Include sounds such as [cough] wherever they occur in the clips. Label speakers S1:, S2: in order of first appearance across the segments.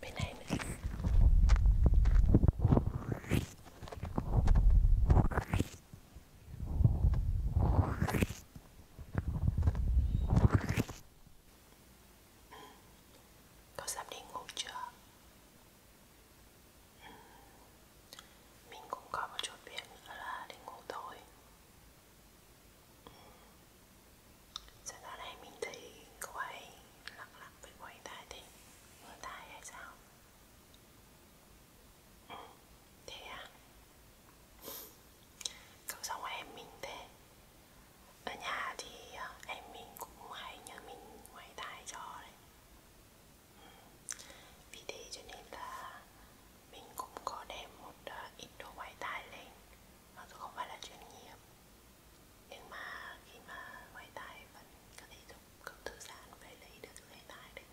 S1: Bên này nữa Cậu sắp đi ngủ chưa? Mình cũng có một chút việc nữa là đi ngủ thôi ừ. Sau đó này mình thấy cô ấy lặng lặng với quay tai thì ngửa tai hay sao ừ, Thế à Cậu xong em mình thế Ở nhà thì à, em mình cũng hay nhờ mình quay tai cho đấy vì thế cho nên là mình cũng có đem một uh, ít đồ ngoại tài lên Mặc dù không phải là chuyên nghiệp Nhưng mà khi mà ngoại tài vẫn có thể giúp cậu thư giãn phải lấy được cái tài đấy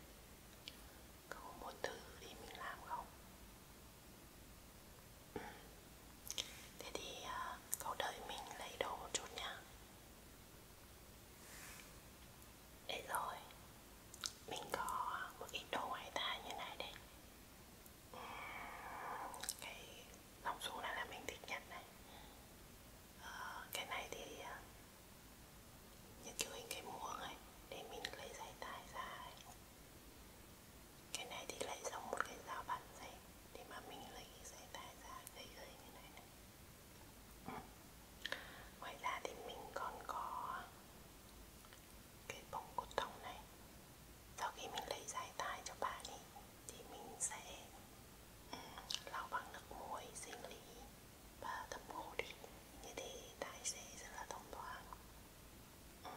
S1: Cậu muốn thử thì mình làm không? Ừ. Thế thì uh, cậu đợi mình lấy đồ một chút nha để rồi mình có một ít đồ ngoài tai như này đây cái dòng xuống này là mình thích nhất này ờ, cái này thì ờ, như kiểu hình cái muỗng ấy để mình lấy dây tai ra ấy. cái này thì lại giống một cái dao bắn dây để mà mình lấy cái dây tai ra lấy dây như này này ngoài ra thì mình còn có cái bông cốt tông này sau khi mình lấy giải tai cho bạn ấy thì mình sẽ lau bằng nước muối sinh lý và thấm khô đi như thế tai sẽ rất là thông thoáng ừ.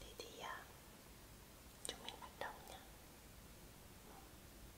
S1: thế thì à, chúng mình bắt đầu nhé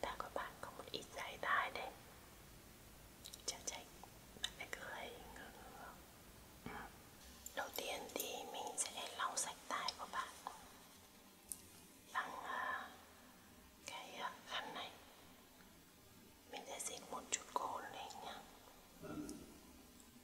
S1: Ta có bạn có một ít dài tai đây Chắc chắn bạn phải cười ngơ ngơ ừ. Đầu tiên thì mình sẽ lau sạch tai của bạn Bằng ờ, cái ờ, khăn này Mình sẽ xịt một chút cồn lên nhá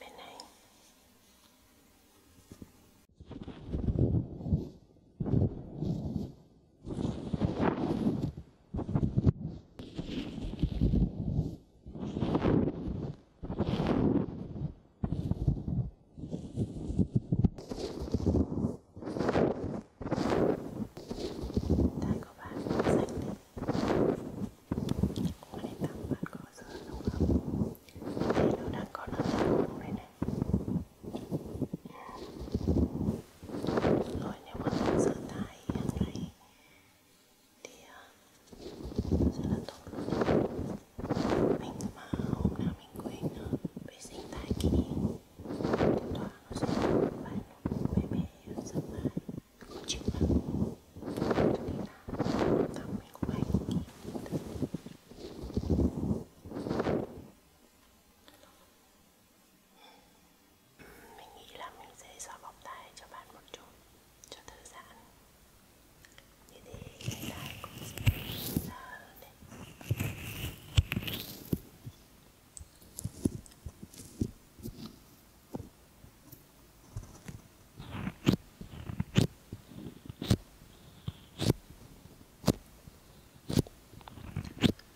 S1: bên này tay của bạn xanh đi có nên tặng bạn có dưa đúng không nó đang có nó này này rồi nếu mà mình sửa tay hàng ngày thì rất là tốt luôn mình mà hôm nào mình quên nó vệ sinh tay kỹ thì toàn nó sẽ phải luôn bé bé rất là khó chịu lắm mình nghĩ là mình sẽ xóa bọc tay cho bạn một chút cho thư giãn như thế cái tay cũng sẽ ra hơn đấy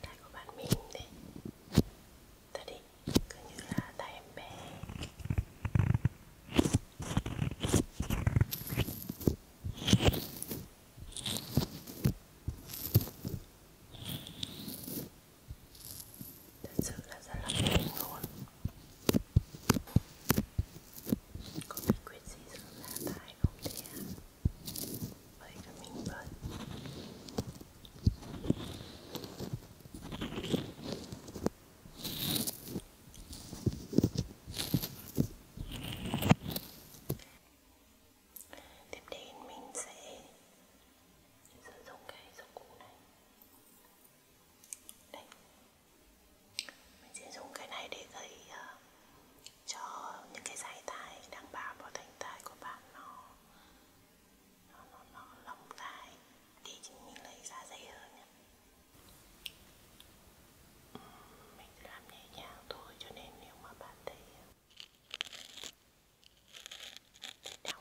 S1: tay của bạn mềm đấy ta đi cứ như là tay em bé thật sự là rất là mềm luôn có bí quyết gì giúp là tài không thế à? Vậy là mình bận Tiếp đến mình sẽ sử dụng cái dụng cụ này Đây mình sẽ dùng cái này để gây uh, ờ, cho những cái dây tai đang bám vào thành tai của bạn nó nó nó, nó lỏng lại thì chúng mình lấy ra dày hơn nhé mình làm nhẹ nhàng thôi cho nên nếu mà bạn thấy ờ, đau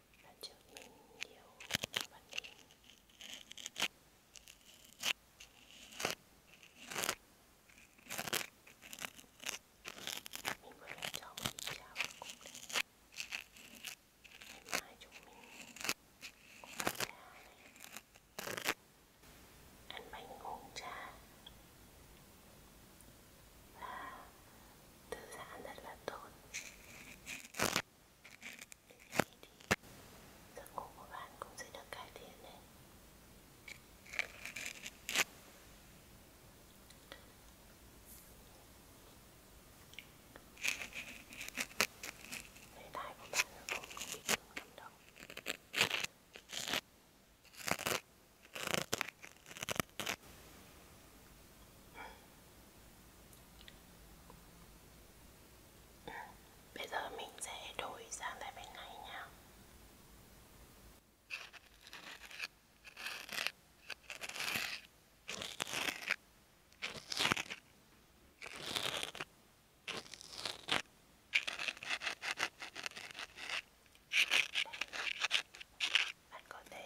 S1: lần trước mình nhiều cho bạn mình mình vừa lên cho một cái cháo cũng đấy ngày mai chúng mình cũng ăn trà này ăn bánh uống trà và thư giãn rất là tốt thế thì giấc ngủ của bạn cũng sẽ được cải thiện đấy Đề tài của bạn là không bị cứng lắm đâu Bây giờ mình sẽ đổi sang tại bên này nha bạn có thể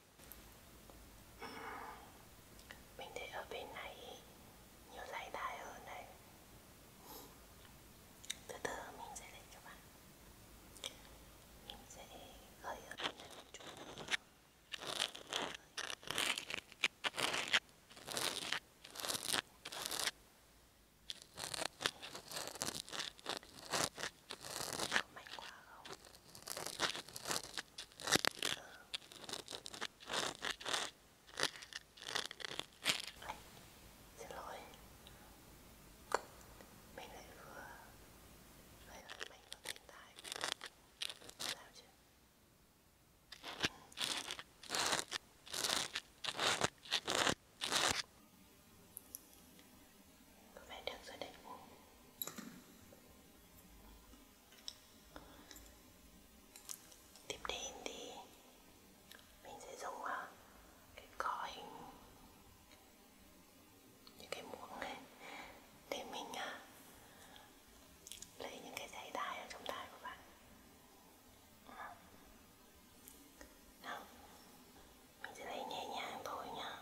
S1: Mình thấy ở bên này nhiều giải tài hơn đấy Từ từ mình sẽ lên cho bạn Mình sẽ gợi ở bên này một chút nữa Có mạnh quá không? Ây, xin lỗi mình lại vừa vậy là mình có thiên tai sao chứ có vẻ được rồi đấy tiếp đến thì mình sẽ dùng à, cái cỏ hình những cái muỗng này để mình à, lấy những cái dây đai ở trong tai của bạn nào mình sẽ lấy nhẹ nhàng thôi nhá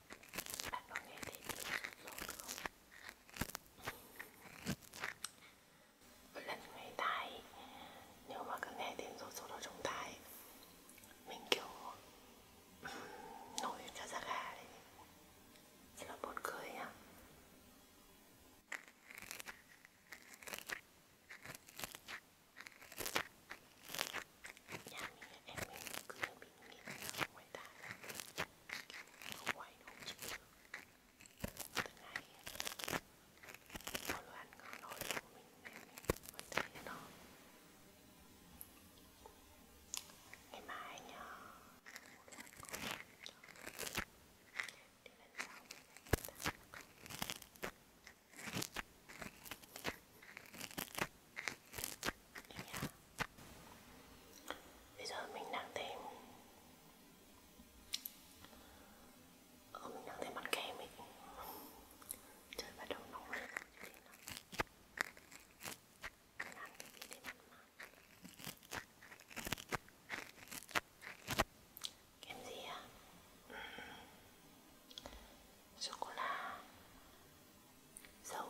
S1: Bạn có nghe thấy tiếng sốt không? Một lần người tai Nếu mà cứ nghe tiếng sốt sốt ở trong tai Mình kiểu nổi cả da gà đấy Rất là buồn cười nhá Nhà mình, em mình cứ bị nghiện ở ngoài tai không quay không chịu được từng ngày có lối ăn ngon nổi của mình nên mình mới thấy nó ngày mai nhờ để lần sau mình ta Bây giờ mình đang thêm Ờ, mình đang thêm mặt kem ấy Trời bắt đầu nóng lên Mình ăn cái gì để mặt mát Kem gì à? Ừ. Sô-cô-la Dầu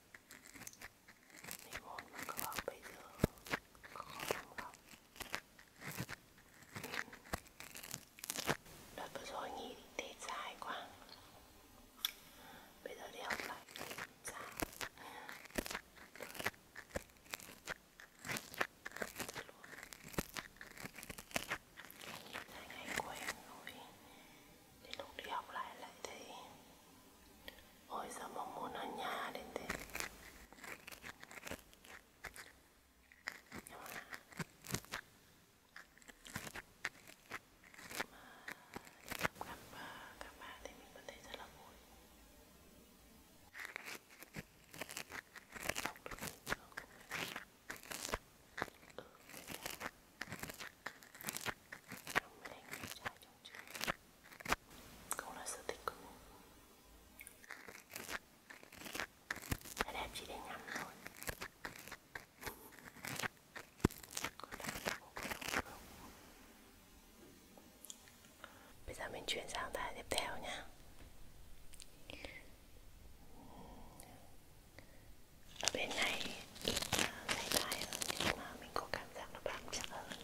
S1: Mình muốn mà các bạn bây giờ có không lắm Đợt vừa rồi nghỉ Tết dài quá Bây giờ đi học lại thì sao? Nhìn thấy ngày quen rồi Đến lúc đi học lại lại thấy Ôi sao mong muốn ở nhà đến thế Nhưng mà Mà gặp các bạn thì mình vẫn thấy rất là vui Không được nhiều không Ừ, mình đánh người trai cũng là sở thích của mình Cái đẹp chỉ để ngắm thôi Bây giờ mình chuyển sang bài tiếp theo nha Ở bên này ít à, dài hơn nhưng mà mình có cảm giác nó bám chắc hơn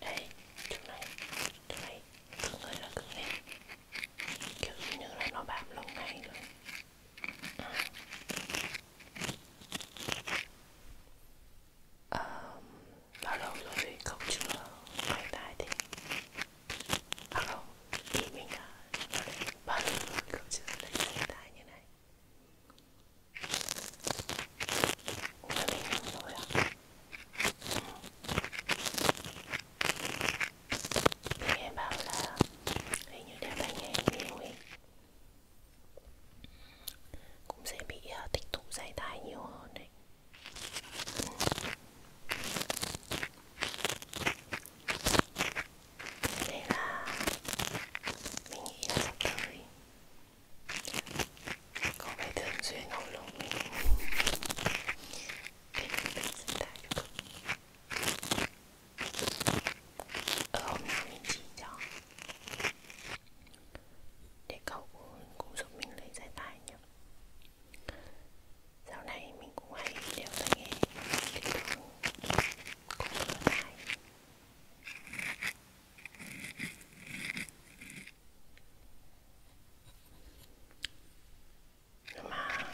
S1: đây chỗ này chỗ này cứng ơi là cứng lên kiểu như là nó bám lâu ngày rồi à. Um, bao lâu rồi không chưa quay lại thì à không thì mình đã bao lâu rồi không chưa lấy tay như này 我这没看到呀。mình nghe bảo là hình như đeo tai nghe nhiều ấy cũng sẽ bị uh, tích tụ dây tai nhiều hơn đấy Thế là mình nghĩ là sắp tới Có phải thường xuyên không lúc mình Thế mình tự sinh ra cho cực Ở ờ, hôm nào mình chỉ cho Để cậu cũng giúp mình lấy giải tài nhé Dạo này mình cũng hay đều phải nghe Cái đường cũng vừa tài Come on.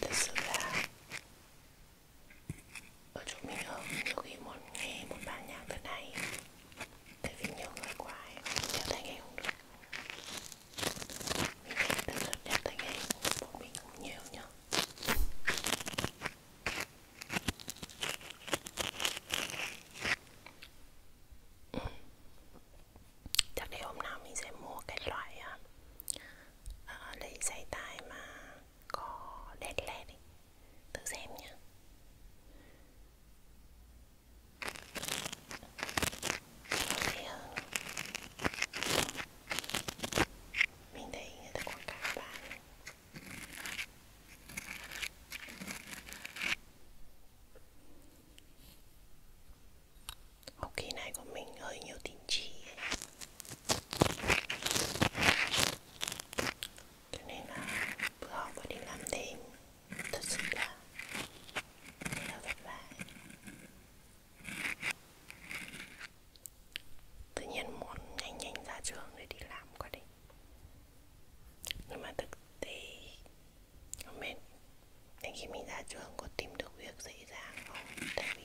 S1: This là ở chỗ mình ở nhiều khi muốn nghe một bản nhạc thế này tại vì nhiều người quá không đeo tai nghe không được mình nghe được rất đeo tai nghe bọn mình cũng nhiều nhá ừ. chắc để hôm nào mình sẽ mua cái loại uh, lấy giày tai mà có đèn led ấy. tự xem nhá Okay. Mình thấy người ta quảng cáo bán Hộp kỳ này của mình hơi nhiều tín chỉ Cho nên là bữa học và đi làm đêm Thật sự là Rất là vất vả tự nhiên muốn nhanh nhanh ra trường để đi làm quá đi nhưng mà thực tế mình đến khi mình ra trường có tìm được việc dễ dàng không tại vì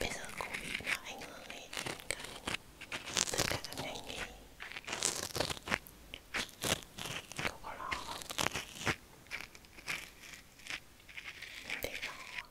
S1: bây giờ covid nó ảnh hưởng ấy cả tất cả các ngành nghề cậu có lo không mình thấy lo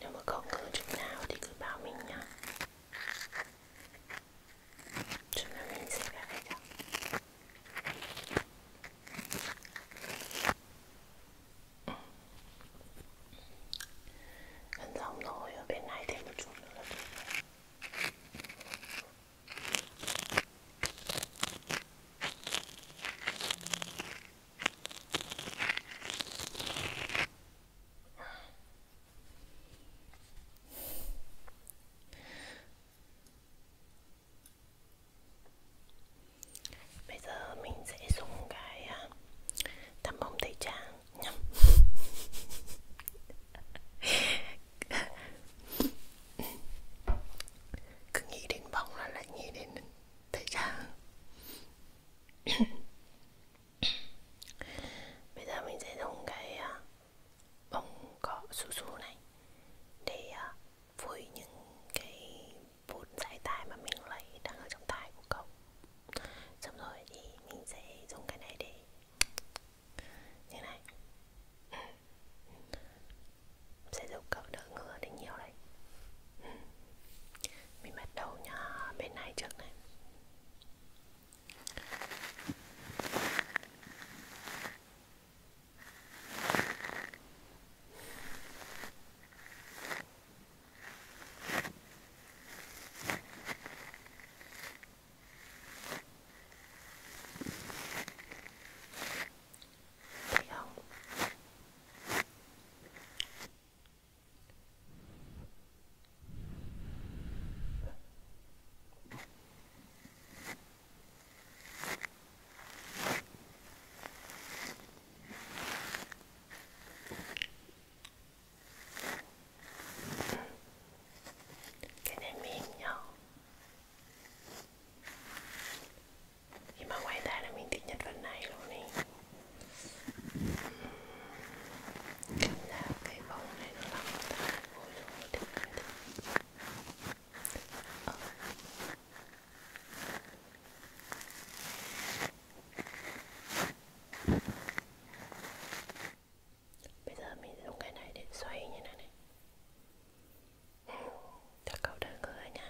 S1: Nếu mà có ngứa chút nào thì cứ báo mình nhá Chúng ta mình sẽ gãi cho Gần xong rồi, ở bên này thêm một chút nữa là được rồi Bây giờ mình sẽ dùng cái à, tăm bông tẩy trang nhầm [laughs] Cứ nghĩ đến bông là lại nghĩ đến Thấy chưa? [coughs] Bây giờ mình sẽ dùng cái à, bông cọ su su này để à, phủi những cái bột dải tai mà mình lấy đang ở trong tai của cậu. Xong rồi thì mình sẽ dùng cái này để như này sẽ giúp cậu đỡ ngứa đến nhiều đấy ừ. mình bắt đầu nhá bên này trước này Thấy không? Cái này mềm nhau nhưng mà ngoài ra là mình thích nhất phần này luôn ý cảm giác cái bóng này nó làm ta ôi dồi thích mình thích ờ. bây giờ mình dùng cái này để xoay như thế này, này cho cậu đỡ ngứa nha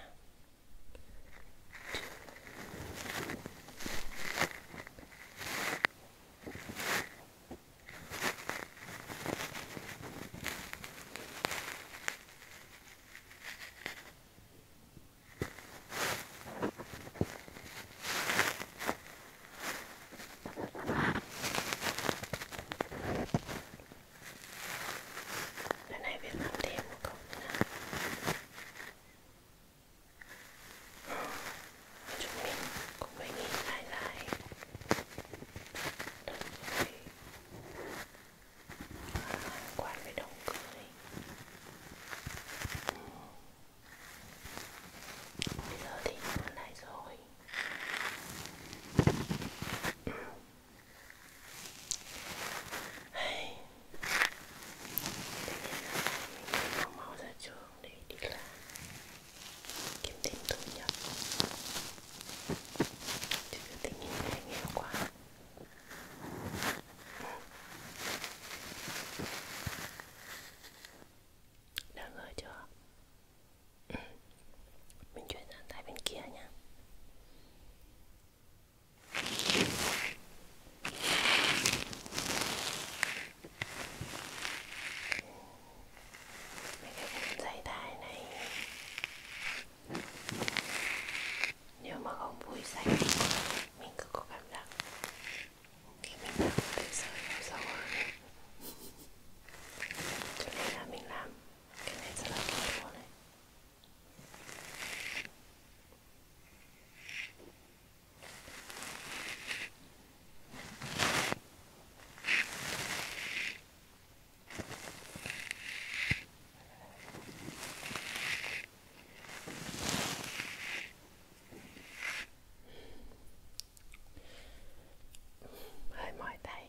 S1: cái này Việt Nam thêm một cục nữa Ừ, chúng mình cũng phải nghĩ lại lại Đừng phải quán với đồng cười ừ. Bây giờ thì nó lại rồi ừ. Hay. Mình mau ra trường để đi làm kiếm thêm thu nhập chứ tình hình này nghèo quá đã ngờ chưa mình chuyển sang tay bên kia nha dây tai này nếu mà không vui sạch mình cứ có cảm giác khi mình làm cái sợi nó sâu hơn cho nên là mình làm cái này rất là kỹ luôn này hơi mỏi tay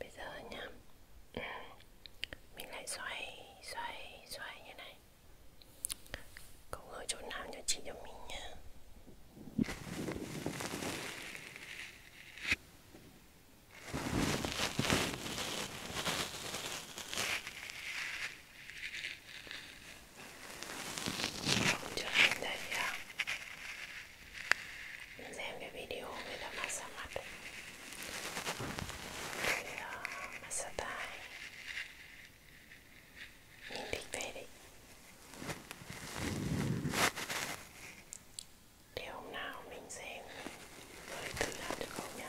S1: Bây giờ nha [clears throat] Mình lại xoay Xoay xoay như này Cậu ở chỗ nào cho chị cho mình nha không trở thành đây à? Mình xem cái video người ta massage mặt Rồi uh, à, massage tai Nhìn thích thế đấy Để hôm nào mình xem mới thử làm được không nhá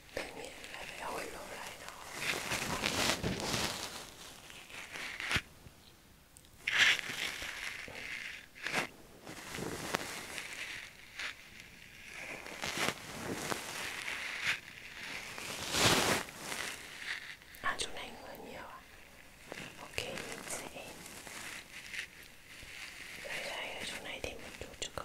S1: tự nhiên lại phải hồi lộ lại nó À chỗ này người nhiều à? Ok mình sẽ Đây đây ở chỗ này thêm một chút cho cậu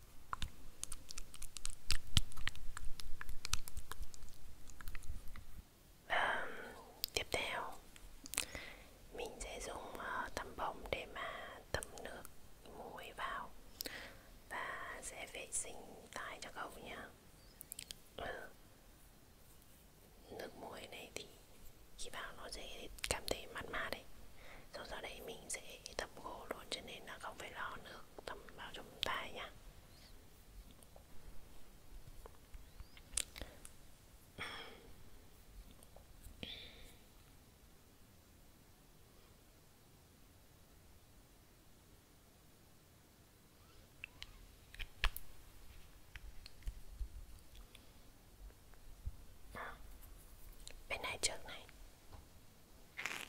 S1: Và tiếp theo mình sẽ dùng ờ, tấm bông để mà tẩm nước muối vào và sẽ vệ sinh tai cho cậu nhé. Ừ. Nước muối này thì khi vào nó sẽ cảm thấy mát mát đấy. Rồi sau đấy mình sẽ tẩm gỗ luôn cho nên là không phải lo nữa nước tầm vào trong tay nha bên này trước này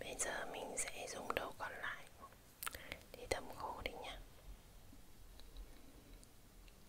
S1: Bây giờ mình sẽ dùng đầu còn lại để thấm khô đi nha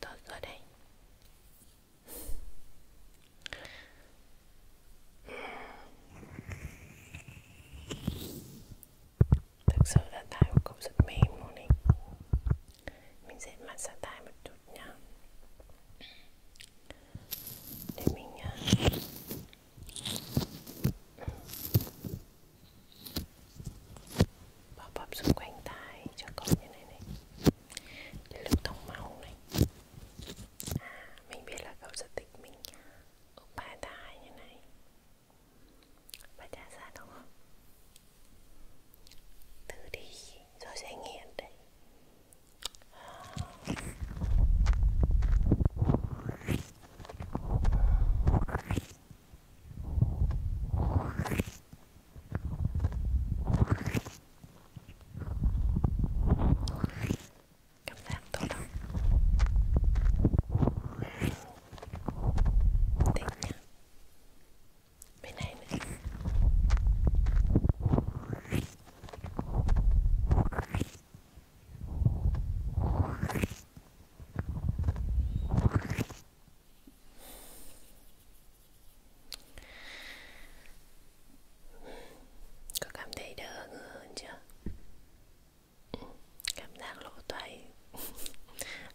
S1: Tôi ở đây Thực sự là tai của cậu rất mềm luôn đấy Mình sẽ massage tai một chút nhá để mình à, bóp bóp xung quanh tai cho con như này này để lưu thông máu này à, mình biết là cậu giật tịch mình úp ba tai như này và trả ra đúng không thử đi rồi sẽ nghiền đấy Cảm giác tốt lắm Thích nha Bên này nữa có cảm thấy đỡ hơn chưa? Ừ, cảm giác lỗ tai [laughs]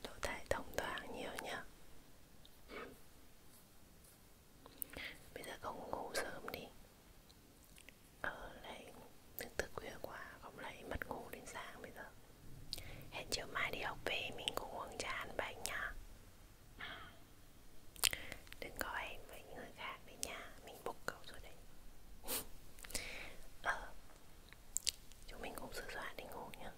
S1: Lỗ tai thông thoáng nhiều nhá bây giờ con ngủ sớm đi ờ lại từ từ khuya quá không lại mất ngủ đến sáng bây giờ hẹn chiều mai đi học về mình cùng uống trà ăn bánh nhá đừng có em với những người khác đấy nha mình bục cậu rồi đấy ờ chúng mình cũng sửa soạn đi ngủ nhá